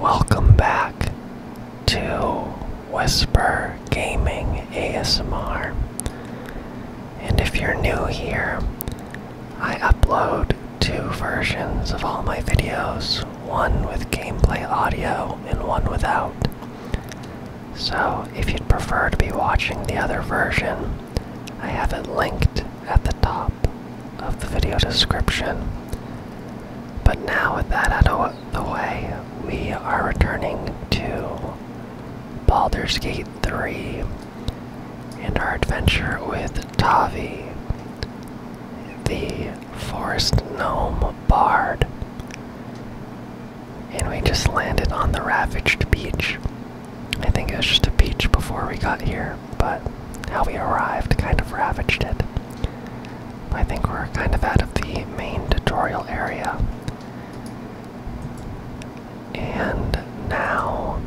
Welcome back to Whisper Gaming ASMR. And if you're new here, I upload two versions of all my videos one with gameplay audio and one without. So if you'd prefer to be watching the other version, I have it linked at the top of the video description. But now, with that out of the way, we are returning to Baldur's Gate 3 and our adventure with Tavi, the Forest Gnome Bard. And we just landed on the Ravaged Beach. I think it was just a beach before we got here but how we arrived kind of ravaged it. I think we're kind of out of the main tutorial area. And now,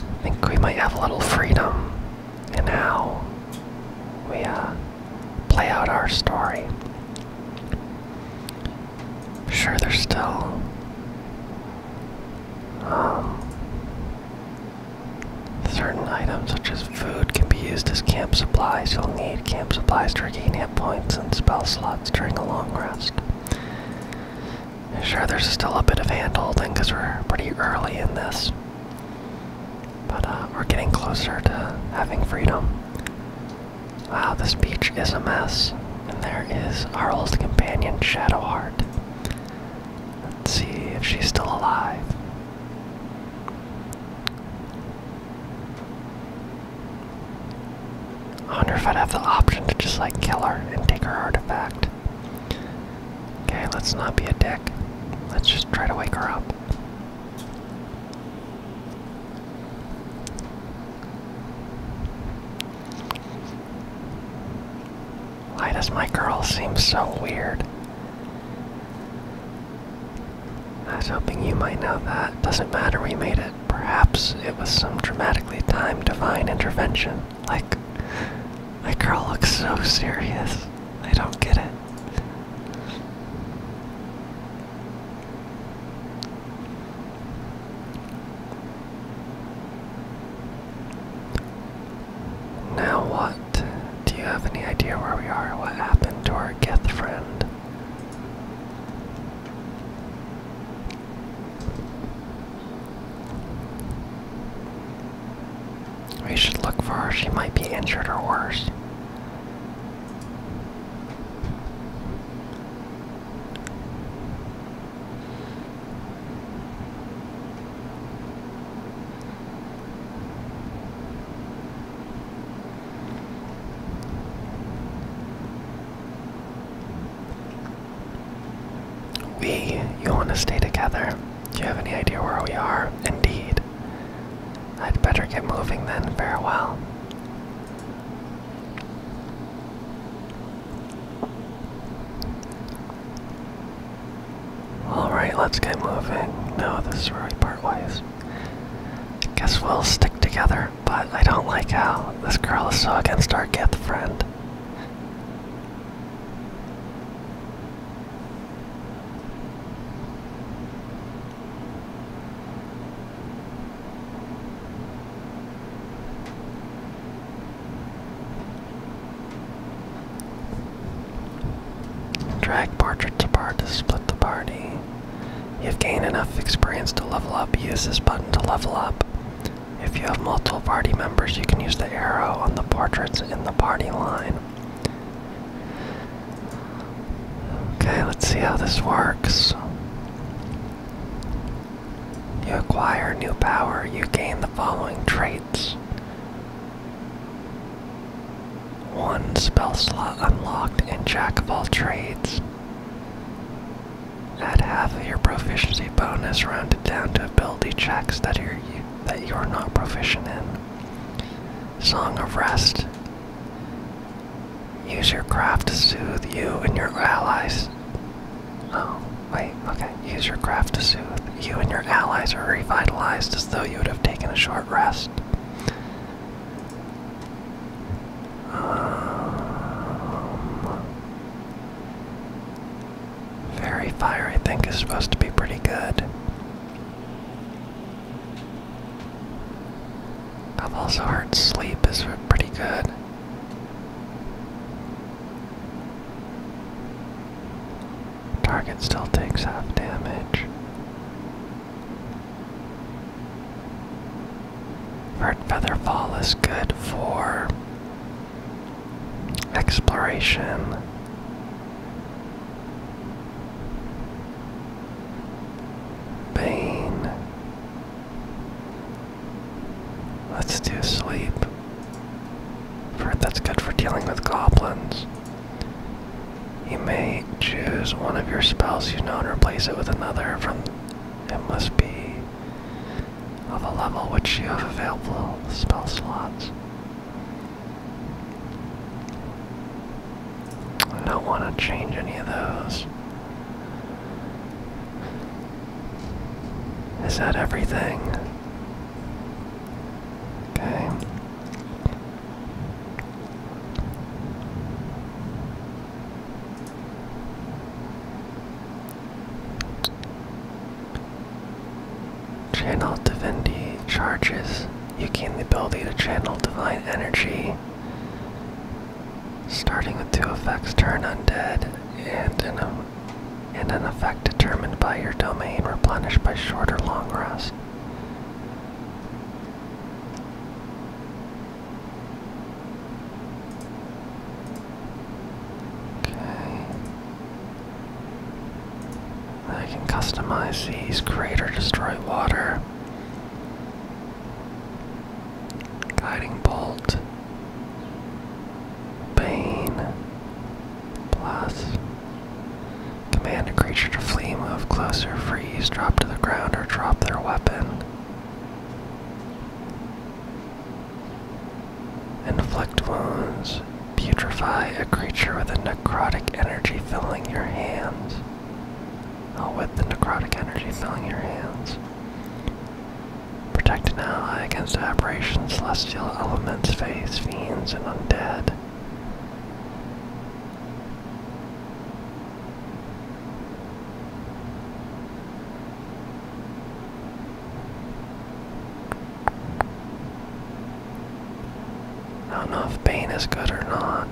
I think we might have a little freedom and how we uh, play out our story. Sure, there's still um, certain items such as food can be used as camp supplies. You'll need camp supplies to regain hit points and spell slots during a long rest. Sure, there's still a bit of handholding because we're pretty early in this. But uh, we're getting closer to having freedom. Wow, this beach is a mess. And there is our old companion, Shadowheart. Let's see if she's still alive. I wonder if I'd have the option to just like kill her and take her artifact. Okay, let's not be a dick. Let's just try to wake her up. Why does my girl seem so weird? I was hoping you might know that. Doesn't matter, we made it. Perhaps it was some dramatically timed divine intervention. Like, my girl looks so serious. I don't get it. Now what? Do you have any idea where we are? What happened to our Geth friend? We should look for her. She might be injured or worse. We, you want to stay together? Do you have any idea where we are? Indeed. I'd better get moving then. Farewell. Alright, let's get moving. No, this is where we part ways. Guess we'll stick together, but I don't like how this girl is so against our gith friend. Drag Partridge apart to split the party. You've gained enough experience to level up. Use this button to level up. If you have multiple party members, you can use the arrow on the portraits in the party line. Okay, let's see how this works. You acquire new power, you gain the following traits. One spell slot unlocked in Jack of all trades. Add half of your proficiency bonus rounded down to ability checks that you're, that you're not proficient in. Song of Rest. Use your craft to soothe you and your allies Oh, wait, okay. Use your craft to soothe. You and your allies are revitalized as though you would have taken a short rest. Um, fire, I think, is supposed to be pretty good. I've also heard sleep is pretty good. Target still takes half damage. Bird Feather Fall is good for exploration. Bane. Let's do sleep. heard that's good for dealing with goblins. You may choose one of your spells you know and replace it with another from it must be of a level which you have available spell slots. I don't want to change any of those. Is that everything? Okay. Channel divinity charges. You gain the ability to channel divine energy. Starting with two effects, turn undead and and an effect determined by your domain replenished by short or long rest. Okay. I can customize these, create or destroy water. Guiding bolt. Pain. Plus. Command a creature to flee, move closer, freeze, drop to the ground, or drop their weapon. Inflict wounds. Putrefy a creature with a necrotic energy filling your hands. with the necrotic energy filling your hands. Protect an ally against aberrations, celestial elements, phase, fiends, and undead. I don't know if Bane is good or not.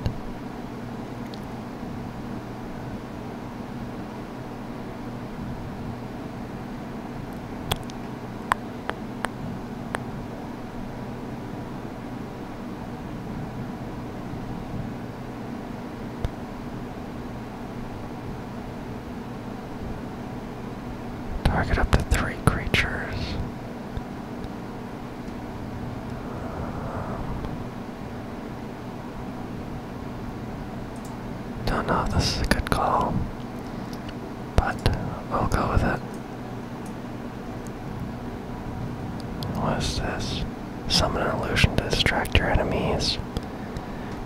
Target up to three creatures. Don't know if this is a good call, but we'll go with it. What's this? Summon an illusion to distract your enemies.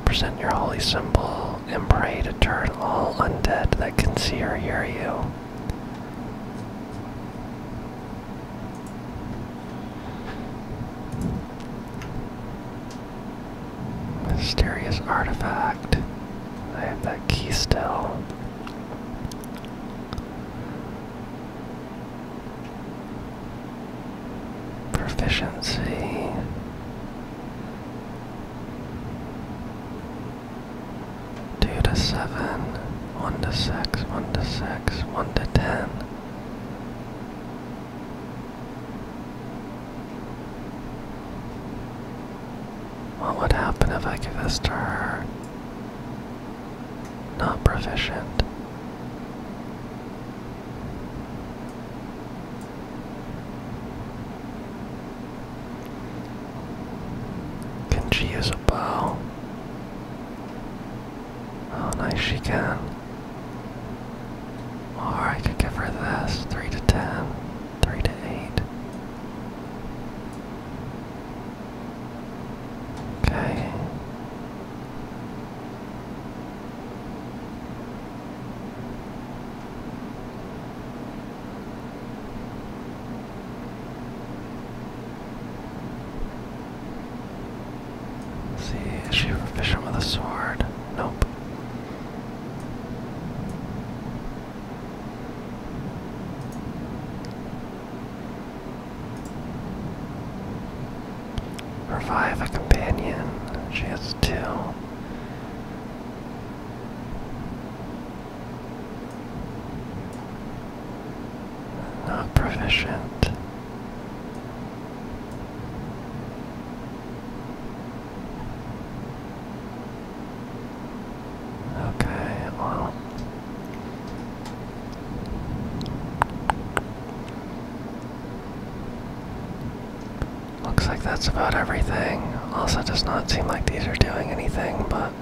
Present your holy symbol and pray to turn all undead that can see or hear you. Mysterious artifact. I have that key still. Proficiency. Two to seven, one to six, one to six, one to ten. What would happen if I give this to her? Not proficient. Can she use a bow? Oh, nice, she can. Or I could give her this. 3 to 10. 3 to 8. Okay see, is she a fishing with a sword? Nope. Revive a companion. She has two. Not proficient. Okay, well. Looks like that's about everything. Also, does not seem like these are doing anything, but.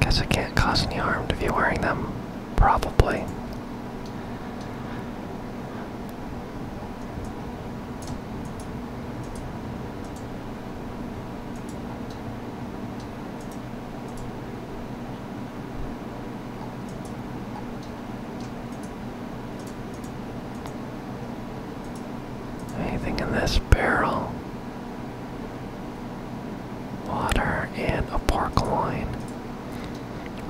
Guess it can't cause any harm to be wearing them. Probably. Anything in this barrel? Water and a park line.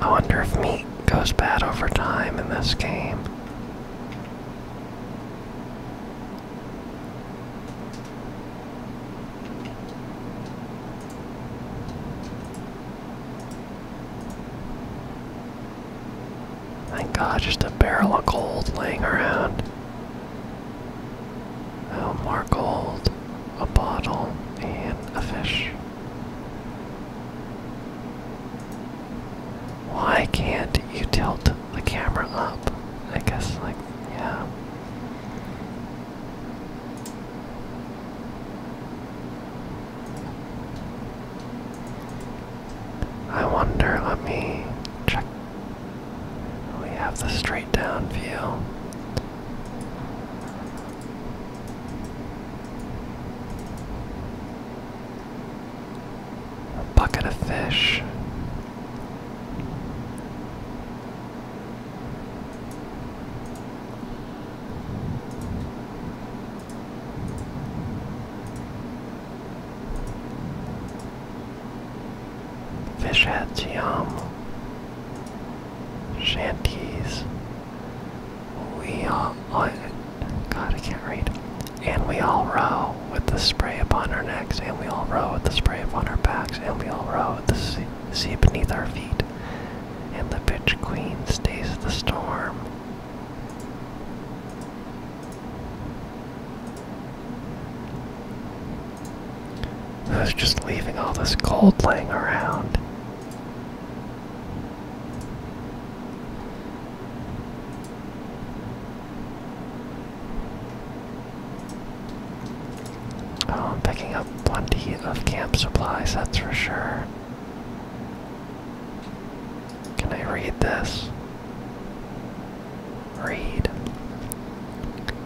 I wonder if meat goes bad over time in this game. Thank God, just a barrel of gold laying around. Oh, more gold, a bottle, and a fish. Why can't you tilt the camera up? I guess, like, yeah. I wonder, let me check. We have the straight down view. A bucket of fish. Fish heads, yum shanties. We all, oh, God, I can't read. And we all row with the spray upon our necks, and we all row with the spray upon our backs, and we all row with the sea, beneath our feet. And the bitch queen stays the storm. Who's just leaving all this gold laying around. Oh, I'm picking up plenty of camp supplies, that's for sure. Can I read this? Read.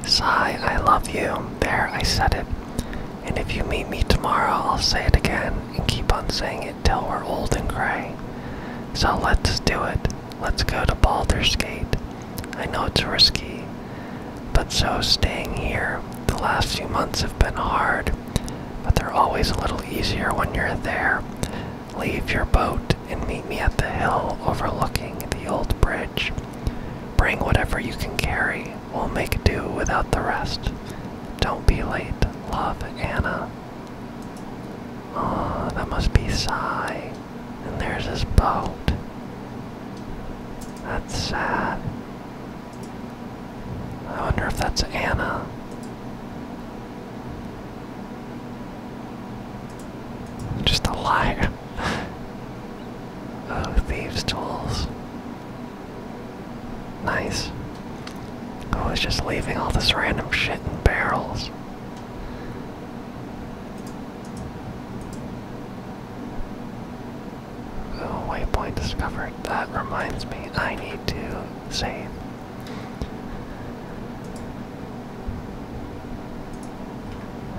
Sigh, I love you. There, I said it. And if you meet me tomorrow, I'll say it again and keep on saying it till we're old and gray. So let's do it. Let's go to Baldur's Gate. I know it's risky, but so staying here. The last few months have been hard, but they're always a little easier when you're there. Leave your boat and meet me at the hill overlooking the old bridge. Bring whatever you can carry. We'll make do without the rest. Don't be late. Love, Anna. Oh, that must be Sigh. And there's his boat. That's sad. I wonder if that's Anna. Just a liar. Oh, thieves' tools. Nice. I was just leaving all this random shit in barrels. Oh, waypoint discovered. That reminds me, I need to save.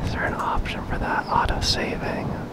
Is there an option for that auto saving?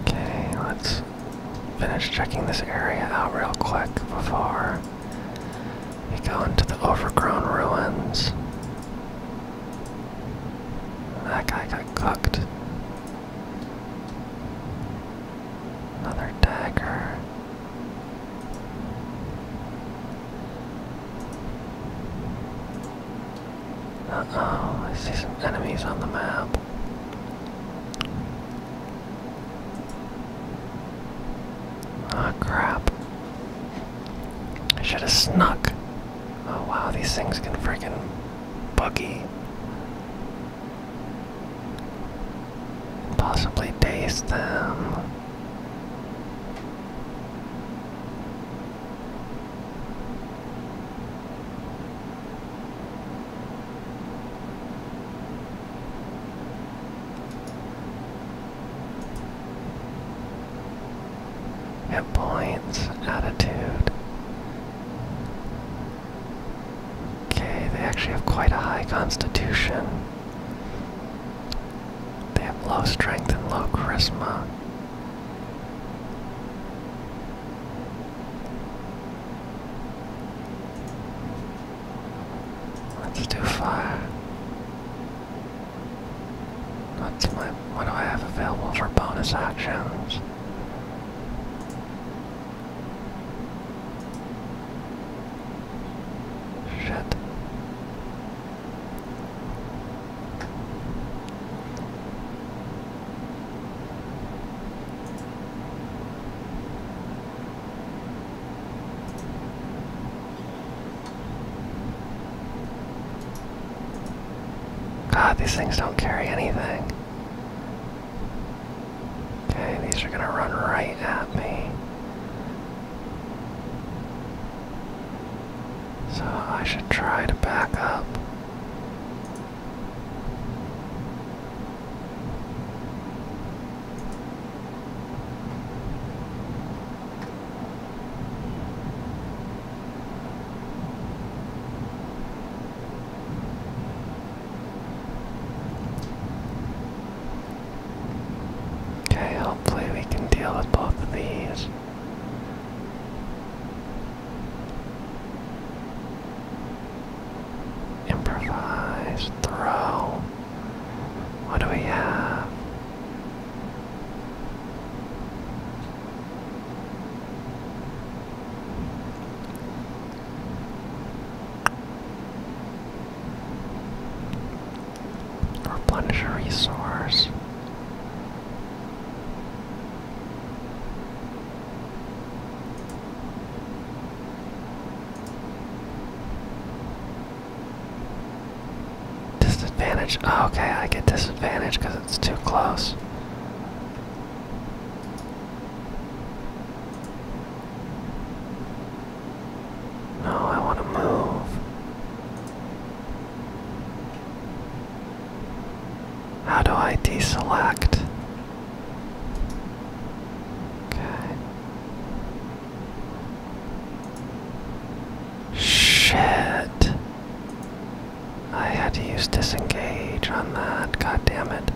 Okay, let's finish checking this area out real quick before we go into the overgrown ruins. That guy got cooked. Another dagger. Uh-oh, I see some enemies on the map. oh, crap. I should have snuck. Oh, wow, these things can freaking buggy. possibly daze them. Hit points, attitude. Okay, they actually have quite a high constitution. They have low strength and low charisma. That's too far. What do, I, what do I have available for bonus actions? Shit. God, these things don't carry anything. Okay, these are gonna run right at me. So I should try to back up. Okay, hopefully we can deal with both of these. Improvise, throw. What do we have? Replenish a resource. Disadvantage. Oh, okay, I get disadvantage because it's too close. No, I want to move. How do I deselect? Okay. Shit. I had to use disengage on that. God damn it.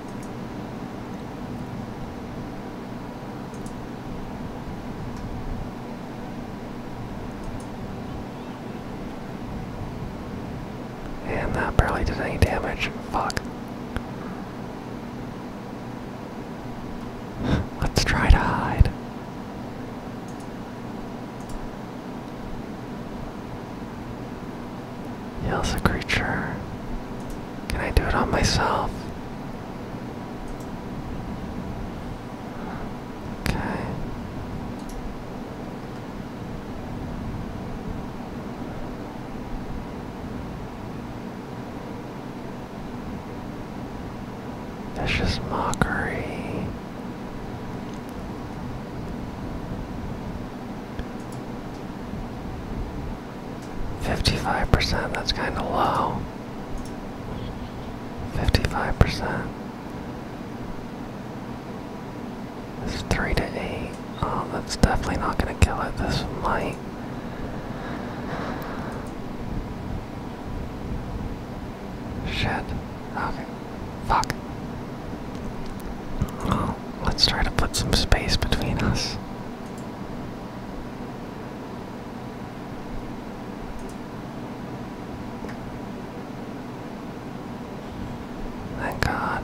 And that barely did any damage. Fuck. Let's try to hide. Heals a creature. Can I do it on myself? Okay. just mockery. Fifty-five percent, that's kinda low. Fifty-five percent. It's three to eight. Oh, that's definitely not gonna kill it. This might. Shit. Okay. Fuck. Oh, let's try to put some space between us. Thank God.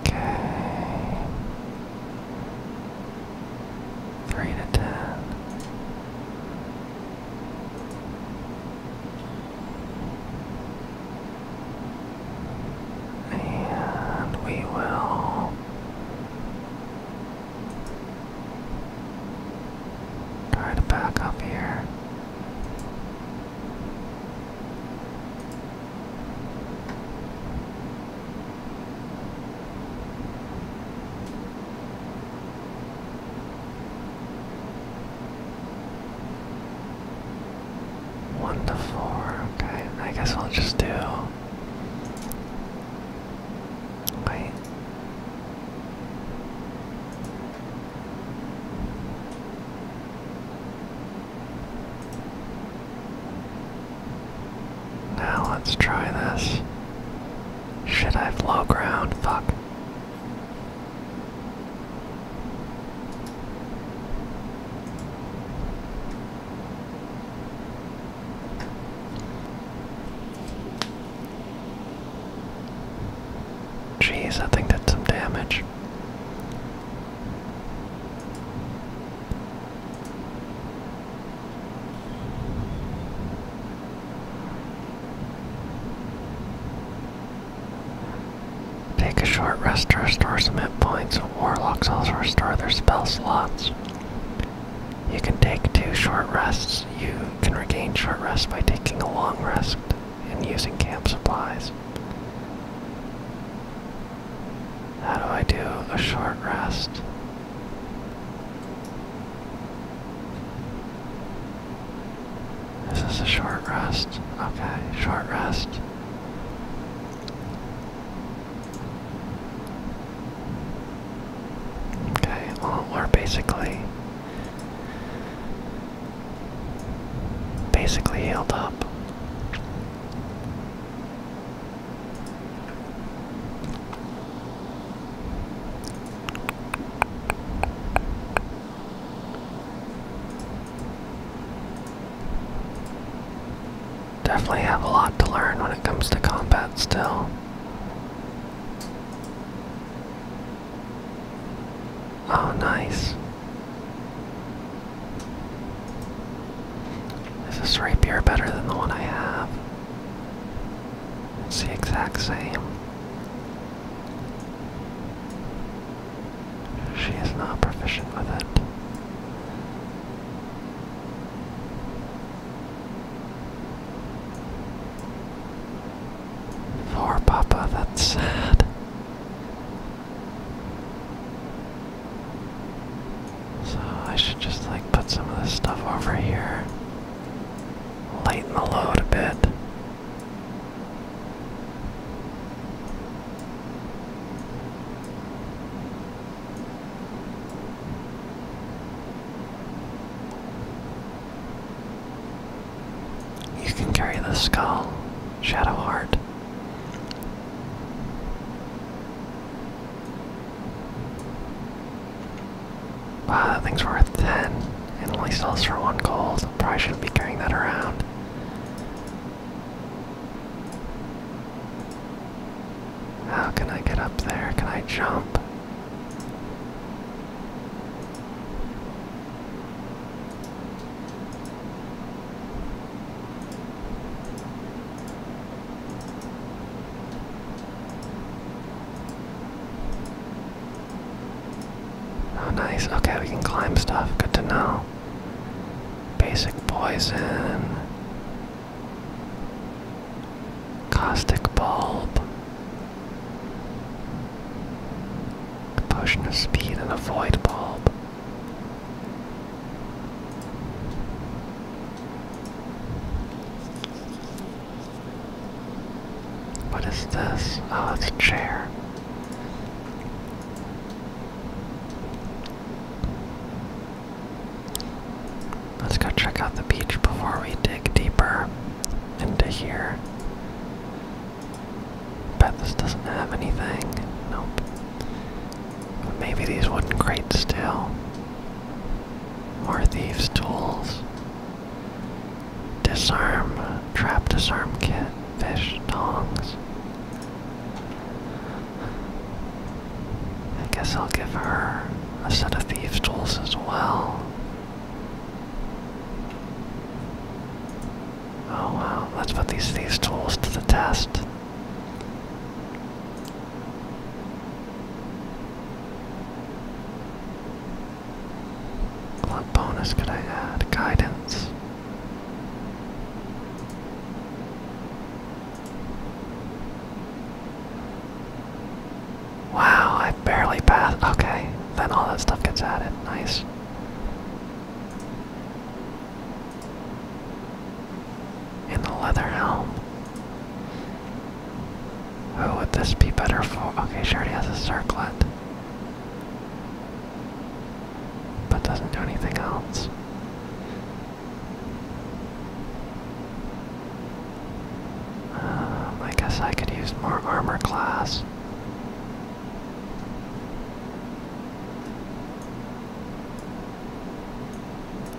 Okay. Three to ten. And we will try to back up here. One to four. Okay, I guess I'll just do. Wait. Now let's try this. Should I have ground? Fuck. Jeez, I think that's some damage. Take a short rest to restore some hit points. Warlocks also restore their spell slots. You can take two short rests. You can regain short rest by taking a long rest and using camp supplies. How do I do a short rest? This is a short rest. Okay, short rest. Okay, well, we're basically. Basically healed up. Definitely have a lot to learn when it comes to combat still. Oh, nice. Is this rapier better than the one I have? It's the exact same. She is not proficient with it. Poor Papa, that's sad. So I should just like put some of this stuff over here. Lighten the load a bit. You can carry the skull, Shadow Heart. Wow, uh, that thing's worth 10. And only sells for one gold. Probably shouldn't be carrying that around. How can I get up there? Can I jump? Oh, nice. Okay, we can climb stuff. Good to know. Basic poison. Caustic bulb. potion of speed and a void bulb. What is this? Oh, it's a chair. Let's go check out the beach before we dig deeper into here. Bet this doesn't have anything. Nope. maybe these wooden crates still. More thieves' tools. Disarm, trap disarm kit, fish, tongs. I guess I'll give her a set of thieves tools as well. Oh wow, let's put these thieves tools to the test. What bonus could I add? Guidance. Wow, I barely passed. Okay, then all that stuff gets added. Nice. In the leather helm. Who would this be better for? Okay, she already has a circlet. But doesn't do anything else. Um, I guess I could use more armor class.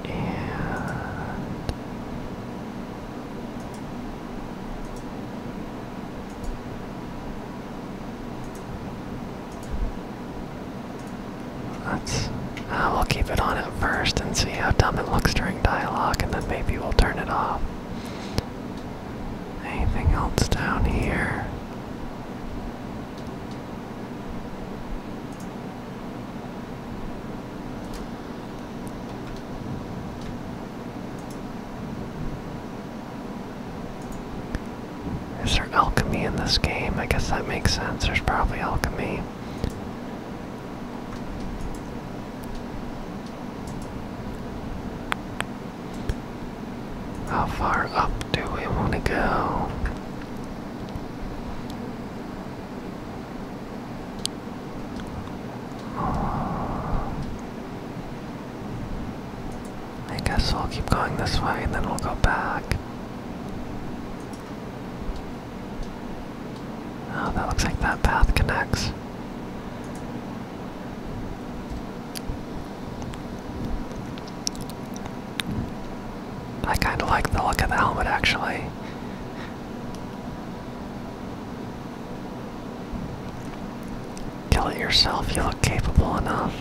And Let's, uh, we'll keep it on at first and see how dumb it looks during dialogue, and then maybe we'll turn it off. Anything else down here? Is there alchemy in this game? I guess that makes sense. There's probably alchemy. How far up do we want to go? I guess we'll keep going this way and then we'll go back. Oh, that looks like that path connects. I kind of like the look of the helmet actually. Kill it yourself, you look capable enough.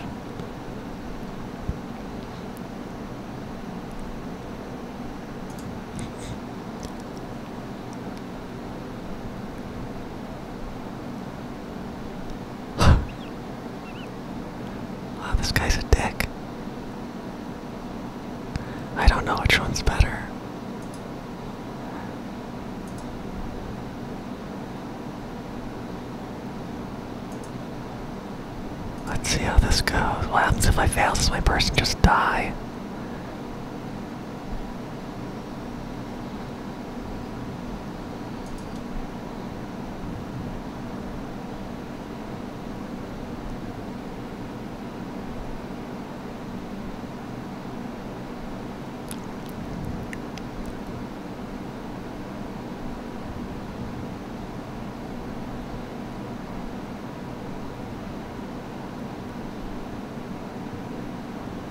wow, this guy's a dick. I don't know which one's better. Let's see how this goes. What happens if I fail? Does my person just die?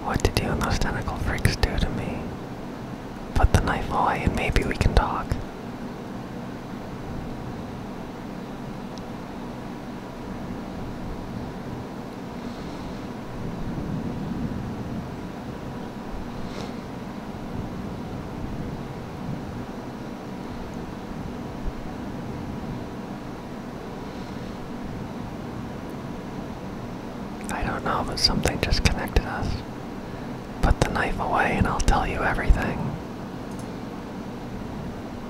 What did you and those tentacle freaks do to me? Put the knife away and maybe we can talk. I don't know, but something just connected us. Put the knife away and I'll tell you everything.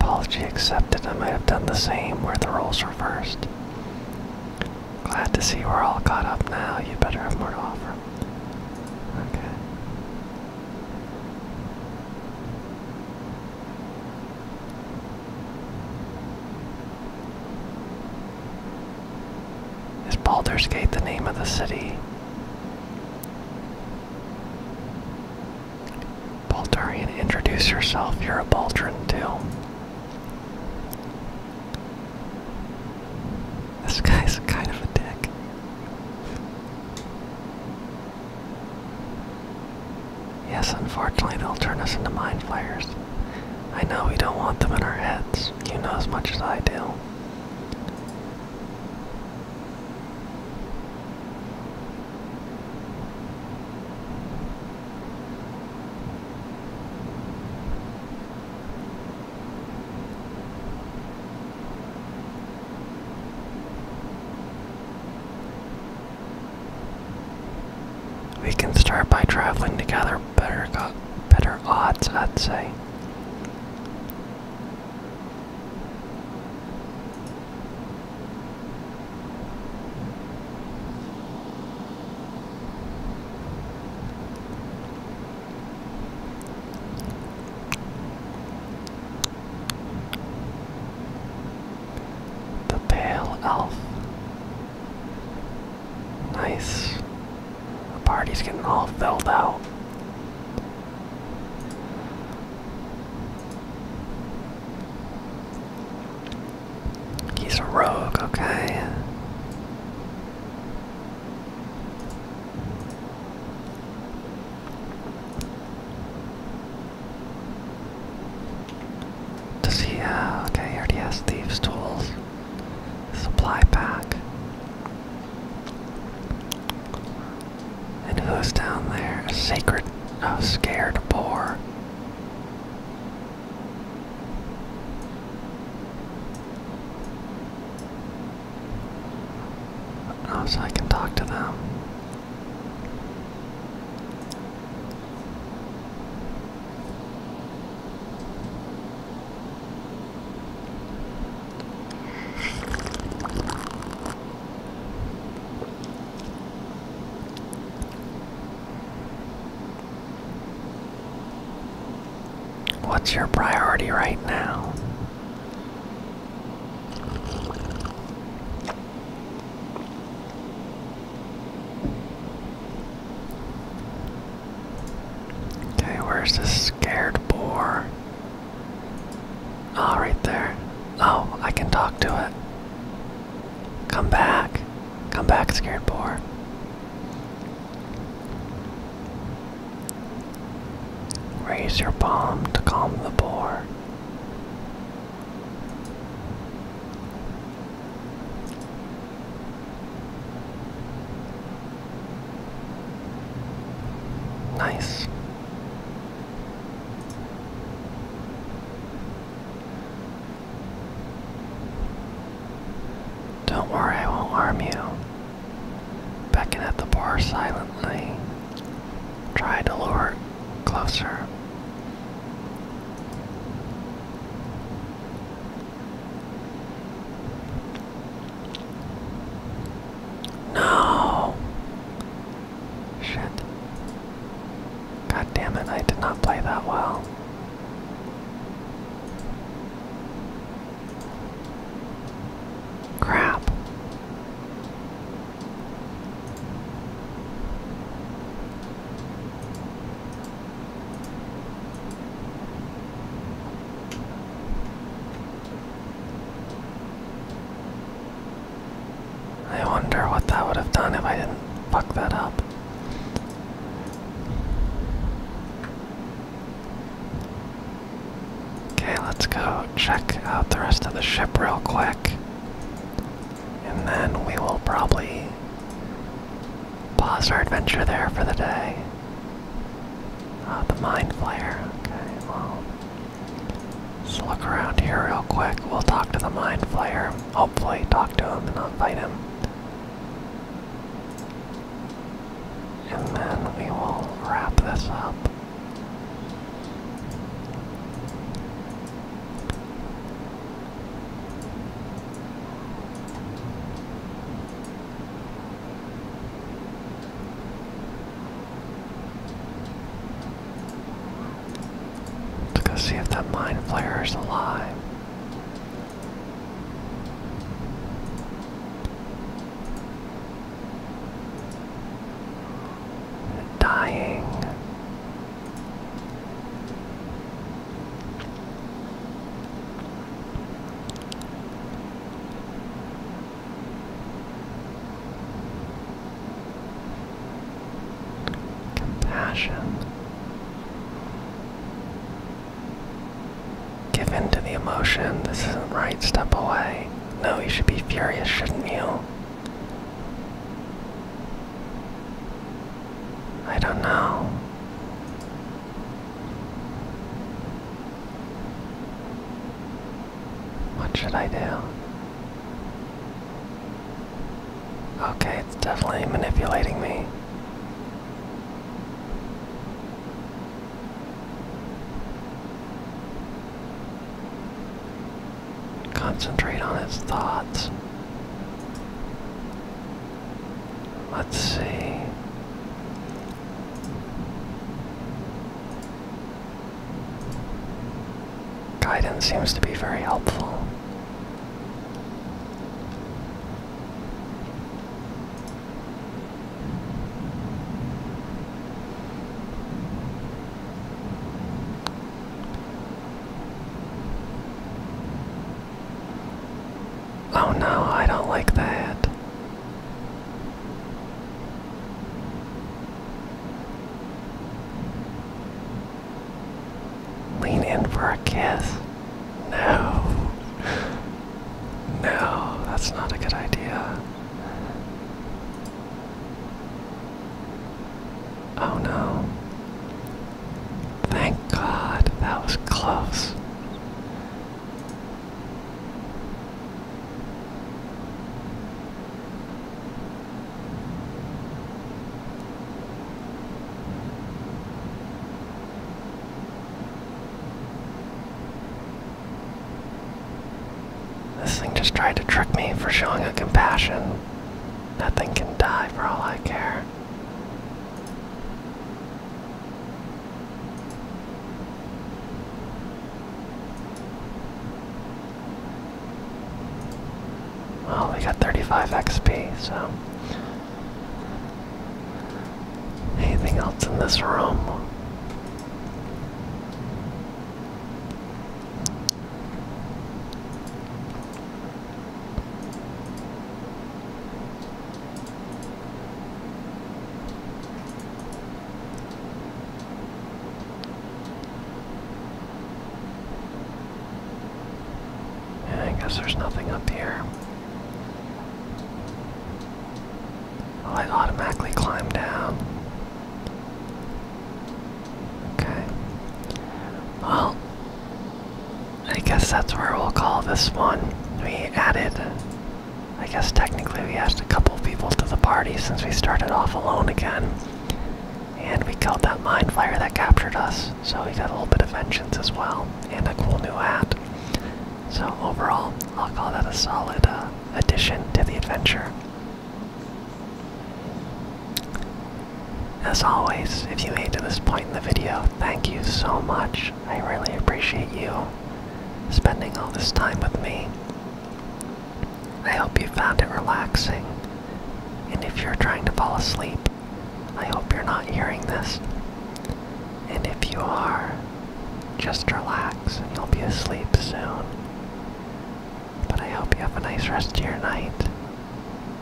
Apology accepted. I might have done the same where the roles reversed. Glad to see we're all caught up now. You better have more to offer. Okay. Is Baldur's Gate the name of the city? Baltarian, introduce yourself. You're a Baltran too. This guy's kind of a dick. Yes, unfortunately, they'll turn us into mind flayers. I know we don't want them in our heads. You know as much as I do. We can start by traveling together better got better odds, I'd say. The Pale Elf. Nice. The party's getting all filled out. He's a rogue, okay. Does he, uh, okay, he thieves' tools. Supply pack. And who's down there? sacred, oh, scared boar so I can talk to them. What's your priority right now? Okay, where's this scared boar? oh, right there. Oh, I can talk to it. Come back. Come back, scared boar. Raise your palm to calm the boar. Nice. Don't worry, I won't harm you. Beckon at the bar silently. Try to lure it closer. No! Shit. God damn it, I did not play that well. Crap. I wonder what that would have done if I didn't fuck that up. Okay, let's go check out the rest of the ship real quick. And then we will probably pause our adventure there for the day. Ah, the Mind Flayer. Okay, Let's look around here real quick. We'll talk to the Mind Flayer. Hopefully, talk to him and not fight him. And then we will wrap this up. Let's go see if that mind flayer is alive. Dying compassion. Give in to the emotion. This isn't right. Step away. No, you should be furious, shouldn't you? I don't know. What should I do? Okay, it's definitely manipulating me. Concentrate on its thoughts. Let's see. Guidance seems to be very helpful. Oh no, I don't like that. Lean in for a kiss. No. No, that's not a good idea. Oh no. Thank God, that was close. This thing just tried to trick me for showing a compassion. That thing can die for all I care. Well, we got 35 XP, so. Anything else in this room? I guess there's nothing up here. Well, oh, I automatically climb down. Okay. Well, I guess that's where we'll call this one. We added, I guess technically we asked a couple people to the party since we started off alone again. And we killed that mine flyer that captured us, so we got a little bit of vengeance as well, and a cool new hat. So overall, I'll call that a solid uh, addition to the adventure. As always, if you made to this point in the video, thank you so much. I really appreciate you spending all this time with me. I hope you found it relaxing. And if you're trying to fall asleep, I hope you're not hearing this. And if you are, just relax and you'll be asleep soon. But I hope you have a nice rest of your night.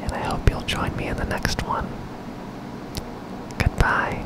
And I hope you'll join me in the next one. Goodbye.